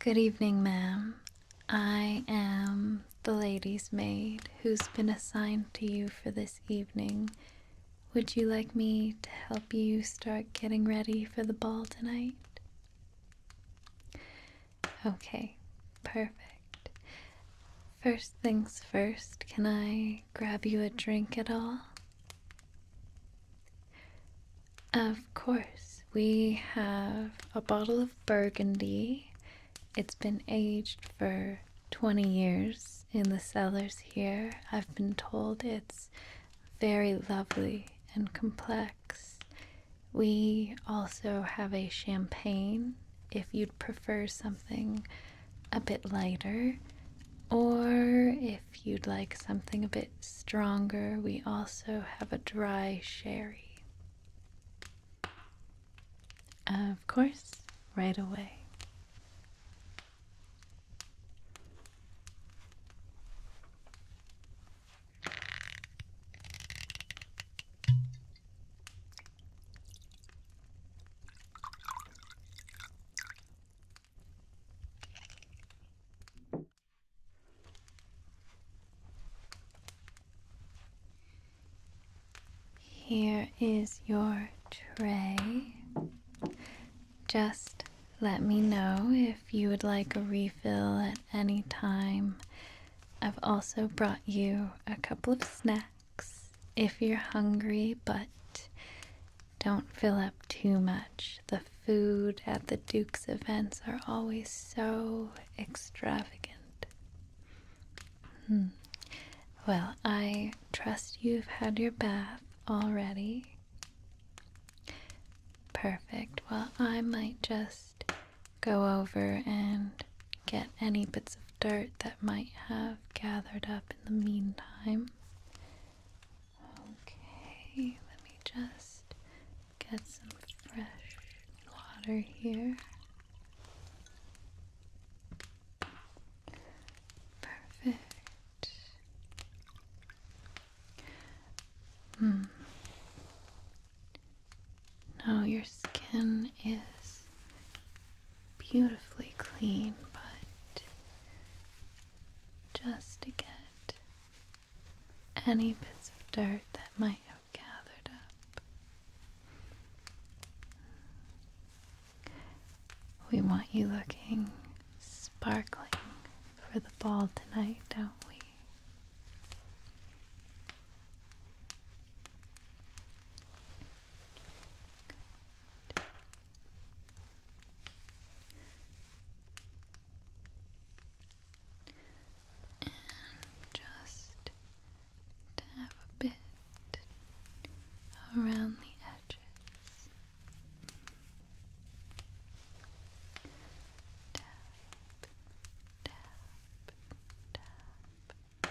Good evening, ma'am. I am the lady's maid who's been assigned to you for this evening. Would you like me to help you start getting ready for the ball tonight? Okay, perfect. First things first, can I grab you a drink at all? Of course, we have a bottle of burgundy. It's been aged for 20 years in the cellars here. I've been told it's very lovely and complex. We also have a champagne if you'd prefer something a bit lighter, or if if you'd like something a bit stronger, we also have a dry sherry. Of course, right away. Here is your tray. Just let me know if you would like a refill at any time. I've also brought you a couple of snacks if you're hungry, but don't fill up too much. The food at the Duke's events are always so extravagant. Hmm. Well, I trust you've had your bath already. Perfect. Well, I might just go over and get any bits of dirt that might have gathered up in the meantime. Okay, let me just get some fresh water here. Perfect. Hmm. Now your skin is beautifully clean, but just to get any bits of dirt that might have gathered up. We want you looking sparkling for the ball tonight, don't we? and just tap a bit around the edges. Tap, tap, tap, tap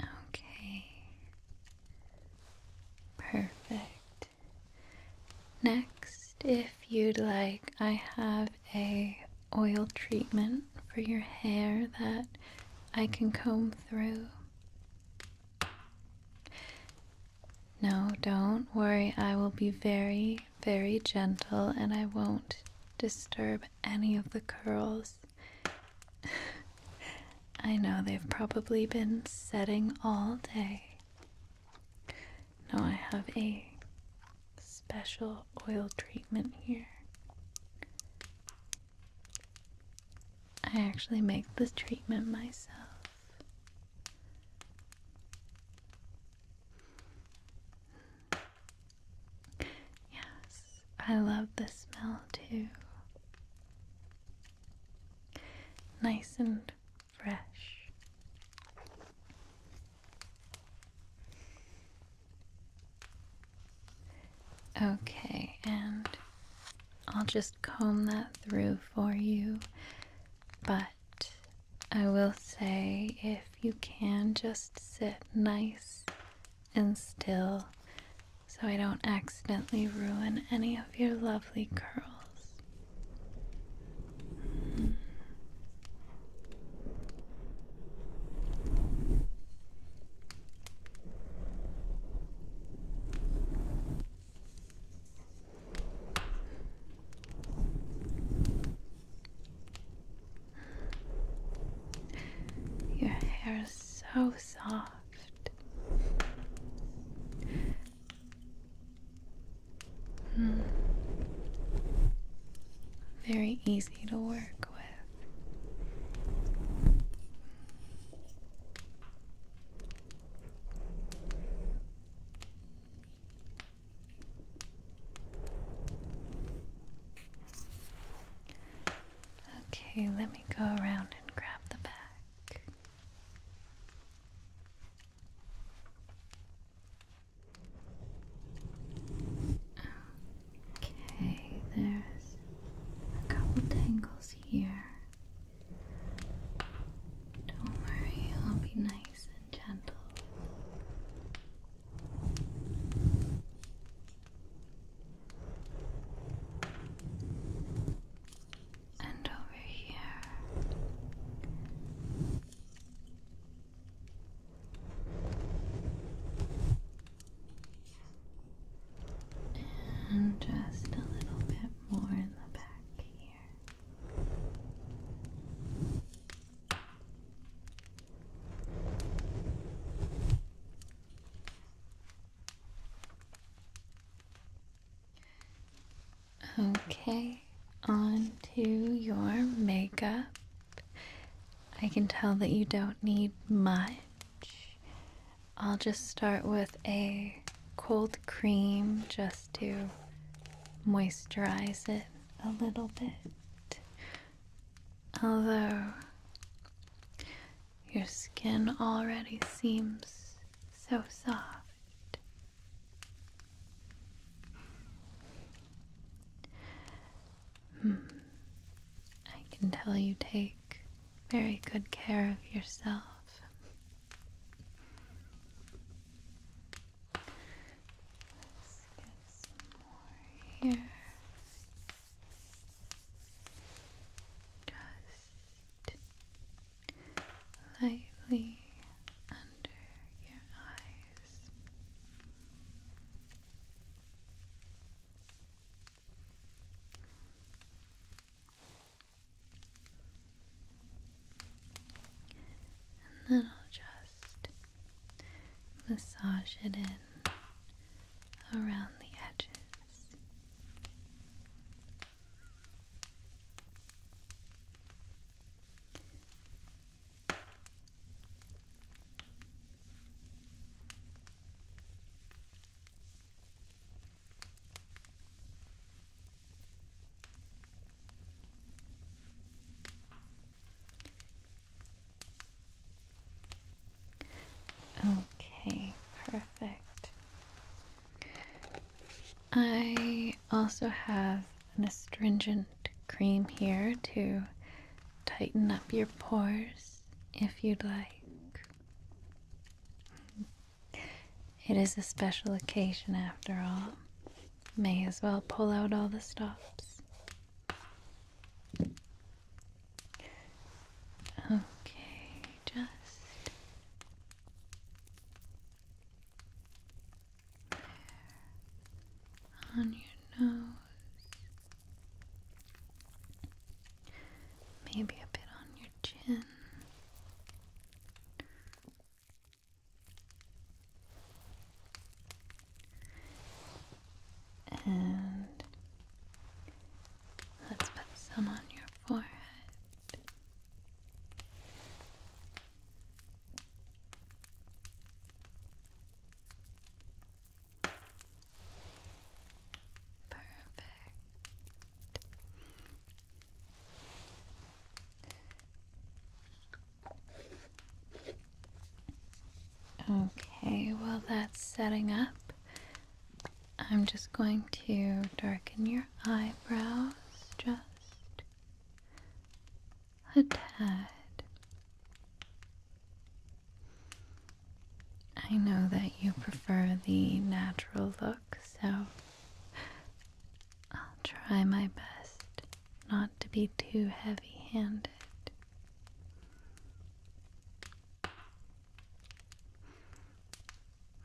Okay. Perfect. Next, if you'd like, I have a oil treatment for your hair that I can comb through. No, don't worry. I will be very, very gentle and I won't disturb any of the curls. I know they've probably been setting all day. Now I have a special oil treatment here. I actually make this treatment myself. Yes, I love the smell too. Nice and fresh. Okay, and I'll just comb that through for you, but I will say if you can just sit nice and still so I don't accidentally ruin any of your lovely curls. Your hair is so soft. Hmm. Very easy to work with. Okay, let me go around and grab the back. Okay, there's a couple tangles here. Don't worry, I'll be nice and gentle and over here. And just a little bit more in the back here. Okay, on to your makeup. I can tell that you don't need much. I'll just start with a cold cream just to moisturize it a little bit. Although your skin already seems so soft, hmm. I can tell you take very good care of yourself. Let's get some more here. Just lightly under your eyes. And then I'll just massage it in around the edges. Okay, perfect. I also have an astringent cream here to tighten up your pores if you'd like. It is a special occasion after all. May as well pull out all the stops. Okay, just there on your nose. Maybe a bit on your chin. And let's put some on your forehead. Perfect. Okay, while that's setting up, I'm just going to darken your eyebrows just a tad. I know that you prefer the natural look, so I'll try my best not to be too heavy handed.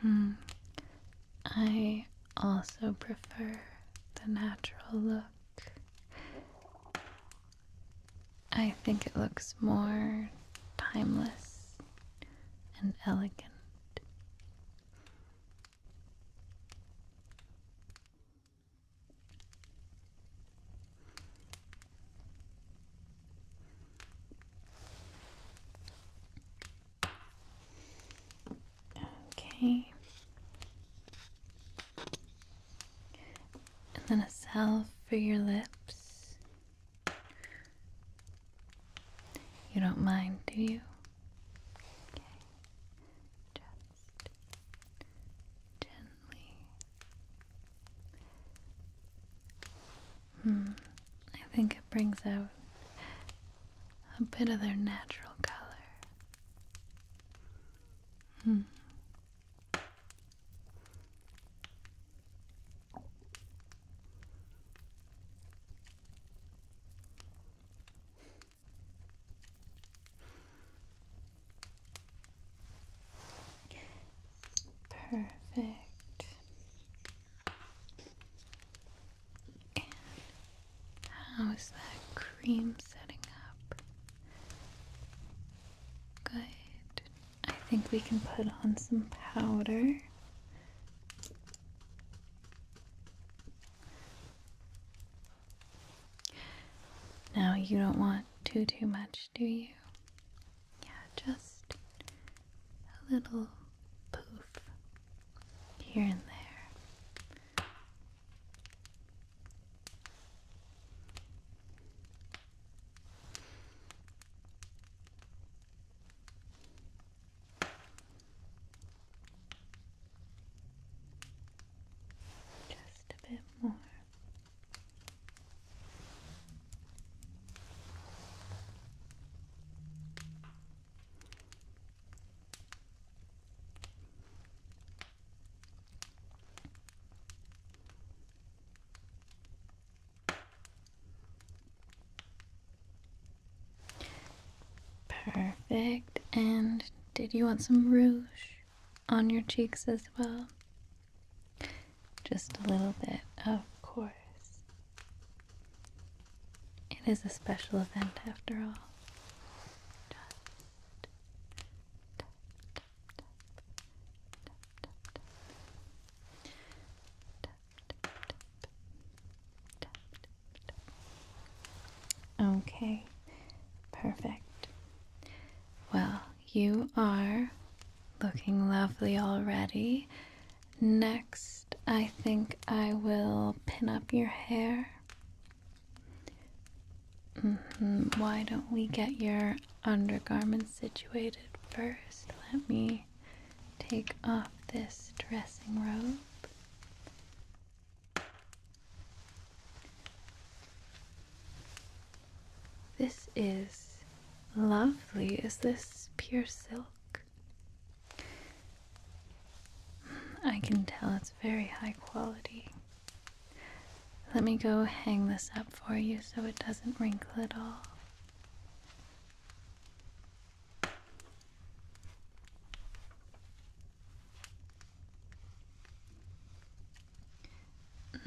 Hmm. I also prefer the natural look. I think it looks more timeless and elegant. Okay. And then a salve for your lips. You don't mind, do you? gently. Hmm, I think it brings out a bit of their natural color. Hmm. Perfect. how's that cream setting up? Good. I think we can put on some powder. Now you don't want too too much, do you? Yeah, just a little poof here and there. Just a bit more. Perfect. And did you want some rouge? on your cheeks as well. Just a little bit, of course. It is a special event after all. Okay, perfect. Well, you are looking lovely already. Next, I think I will pin up your hair. Mm-hmm. Why don't we get your undergarments situated first? Let me take off this dressing robe. This is lovely. Is this pure silk? I can tell it's very high quality. Let me go hang this up for you so it doesn't wrinkle at all.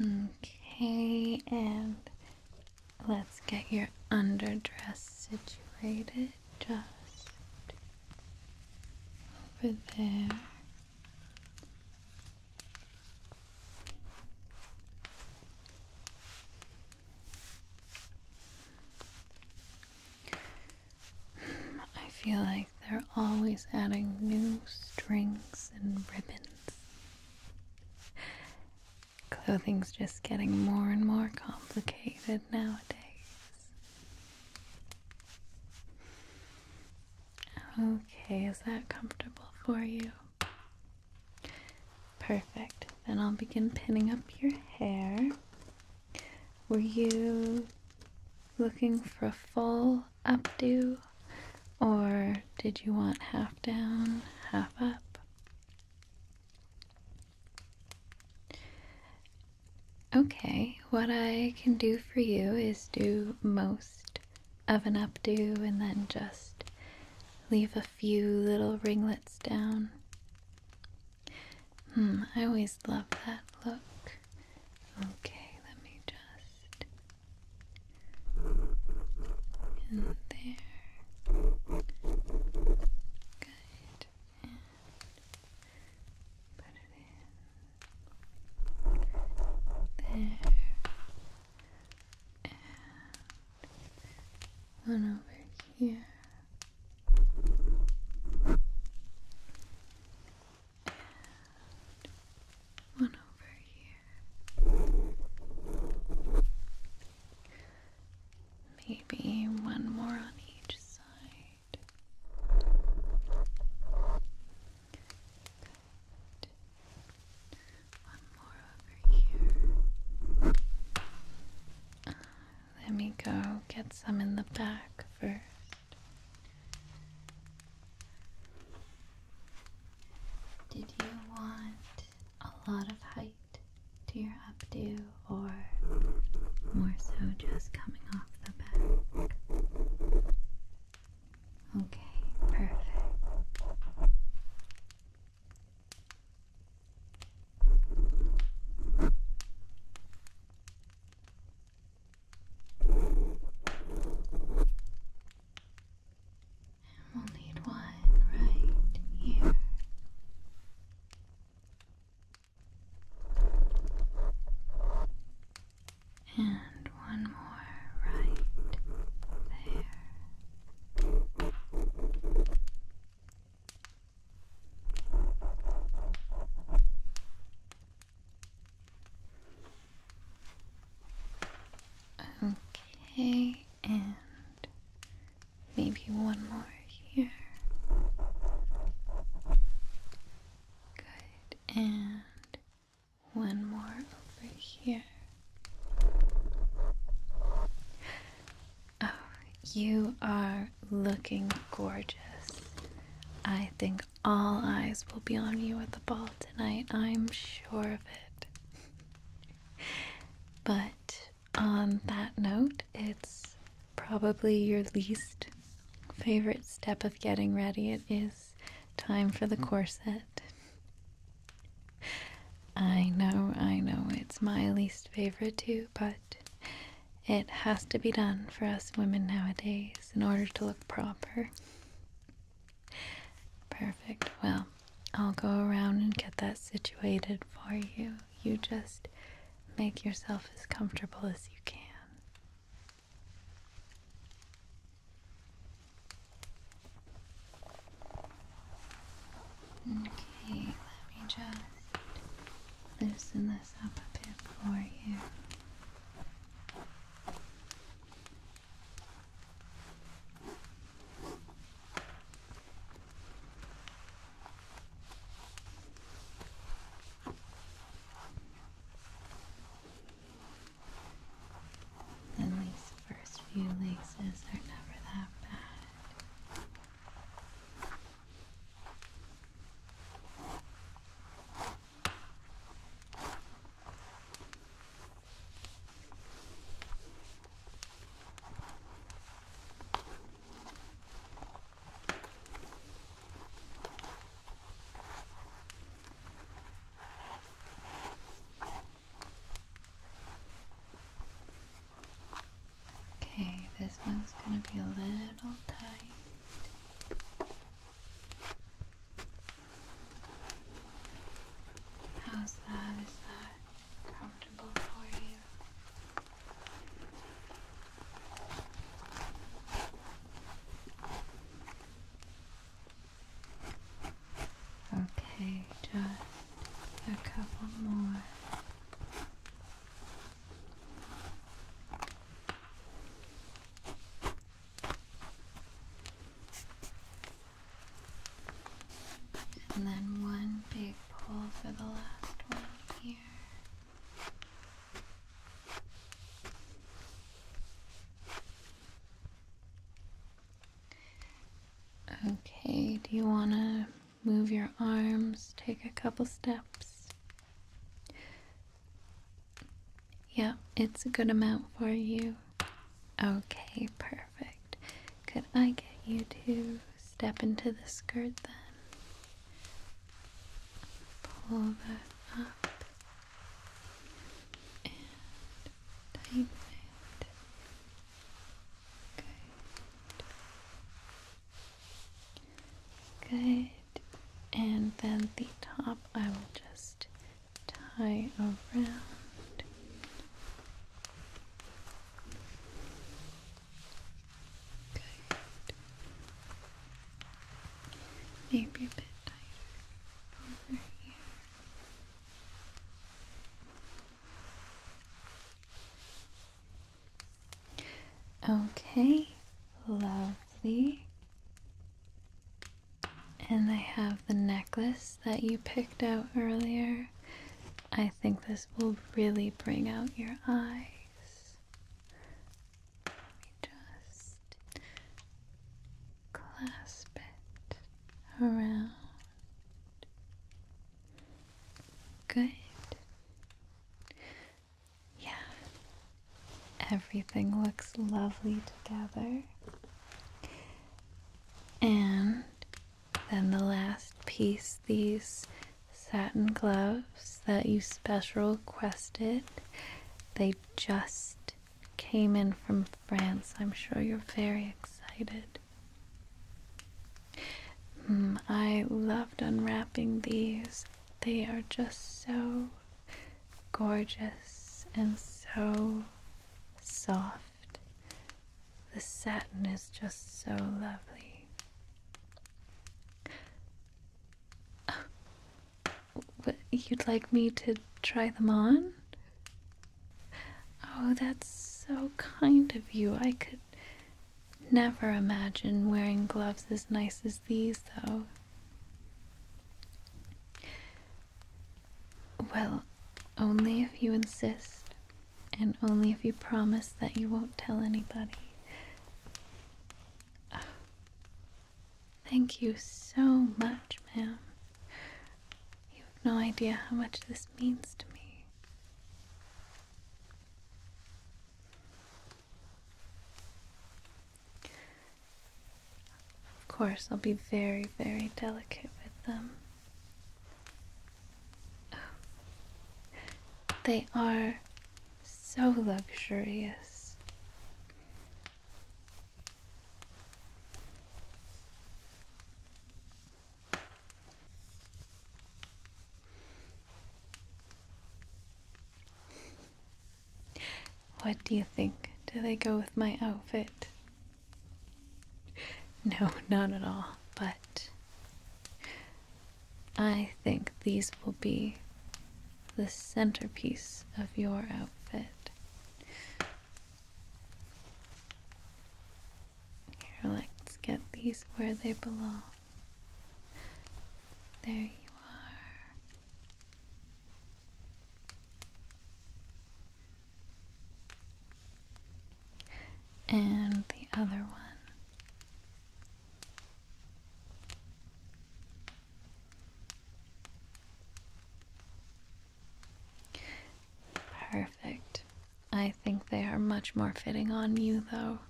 Okay, and let's get your underdress situated just over there. I feel like they're always adding new strings and ribbons. Clothing's just getting more and more complicated nowadays. Okay, is that comfortable for you? Perfect. Then I'll begin pinning up your hair. Were you looking for a fall? updo? Or did you want half down, half up? Okay, what I can do for you is do most of an updo and then just leave a few little ringlets down. Hmm, I always love that look. Okay, let me just and there. Good. put it in. There. And one over here one over here. Maybe one more on each side. One more over here. Uh, let me go get some in the back first. Did you want a lot of height to your updo or more so just coming off the back? Okay, perfect. And we'll need one right here. And one more right there. Okay, and maybe one more here. Good, and one more over here. Oh, you are looking gorgeous. I think all eyes will be on you at the ball tonight. I'm sure of it. but on that note, it's probably your least favorite step of getting ready. It is time for the hmm. corset. I know, I know, it's my least favorite too, but it has to be done for us women nowadays in order to look proper. Perfect. Well, I'll go around and get that situated for you. You just make yourself as comfortable as you can. Okay, let me just loosen this up a bit for you. And these first few laces are never that bad. Okay, this one's going to be a little tight. How's that? Is that comfortable for you? Okay, just a couple more. And then one big pull for the last one here. Okay, do you want to move your arms? Take a couple steps. Yeah, it's a good amount for you. Okay, perfect. Could I get you to step into the skirt then? Pull that up and tighten it. Good. Good and then the top I will just tie around Good. Maybe a bit tighter over here. Okay, lovely. And I have the necklace that you picked out earlier. I think this will really bring out your eyes. Let me just clasp it around. Good. Yeah. Everything looks lovely together. And then the last piece these satin gloves that you special requested. They just came in from France. I'm sure you're very excited. Mm, I loved unwrapping these. They are just so gorgeous and so soft. The satin is just so lovely. Oh, you'd like me to try them on? Oh, that's so kind of you. I could never imagine wearing gloves as nice as these, though. Well, only if you insist, and only if you promise that you won't tell anybody. thank you so much, ma'am. You have no idea how much this means to me. Of course, I'll be very, very delicate with them. they are so luxurious. What do you think? Do they go with my outfit? No, not at all, but I think these will be the centerpiece of your outfit. Here, let's get these where they belong. There you are and the other one. Perfect. I think they are much more fitting on you, though.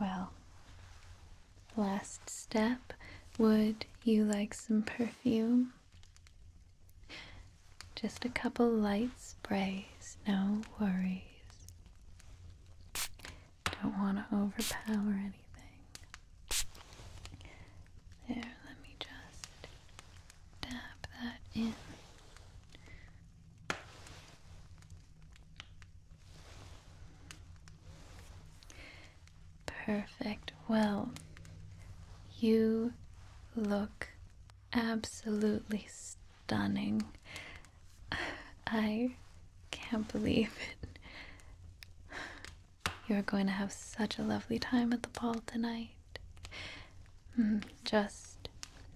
Well, Last step, would you like some perfume? Just a couple light sprays, no worries. Don't want to overpower anything. There, let me just dab that in. Perfect. Well, you look absolutely stunning. I can't believe it. You're going to have such a lovely time at the ball tonight. Mm, just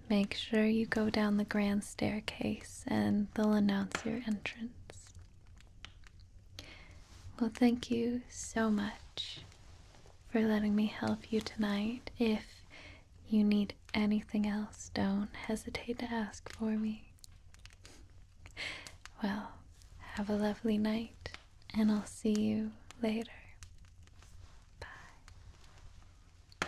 make sure you go down the grand staircase and they'll announce your entrance. Well, thank you so much for letting me help you tonight. If you need anything else, don't hesitate to ask for me. Well, have a lovely night, and I'll see you later. Bye.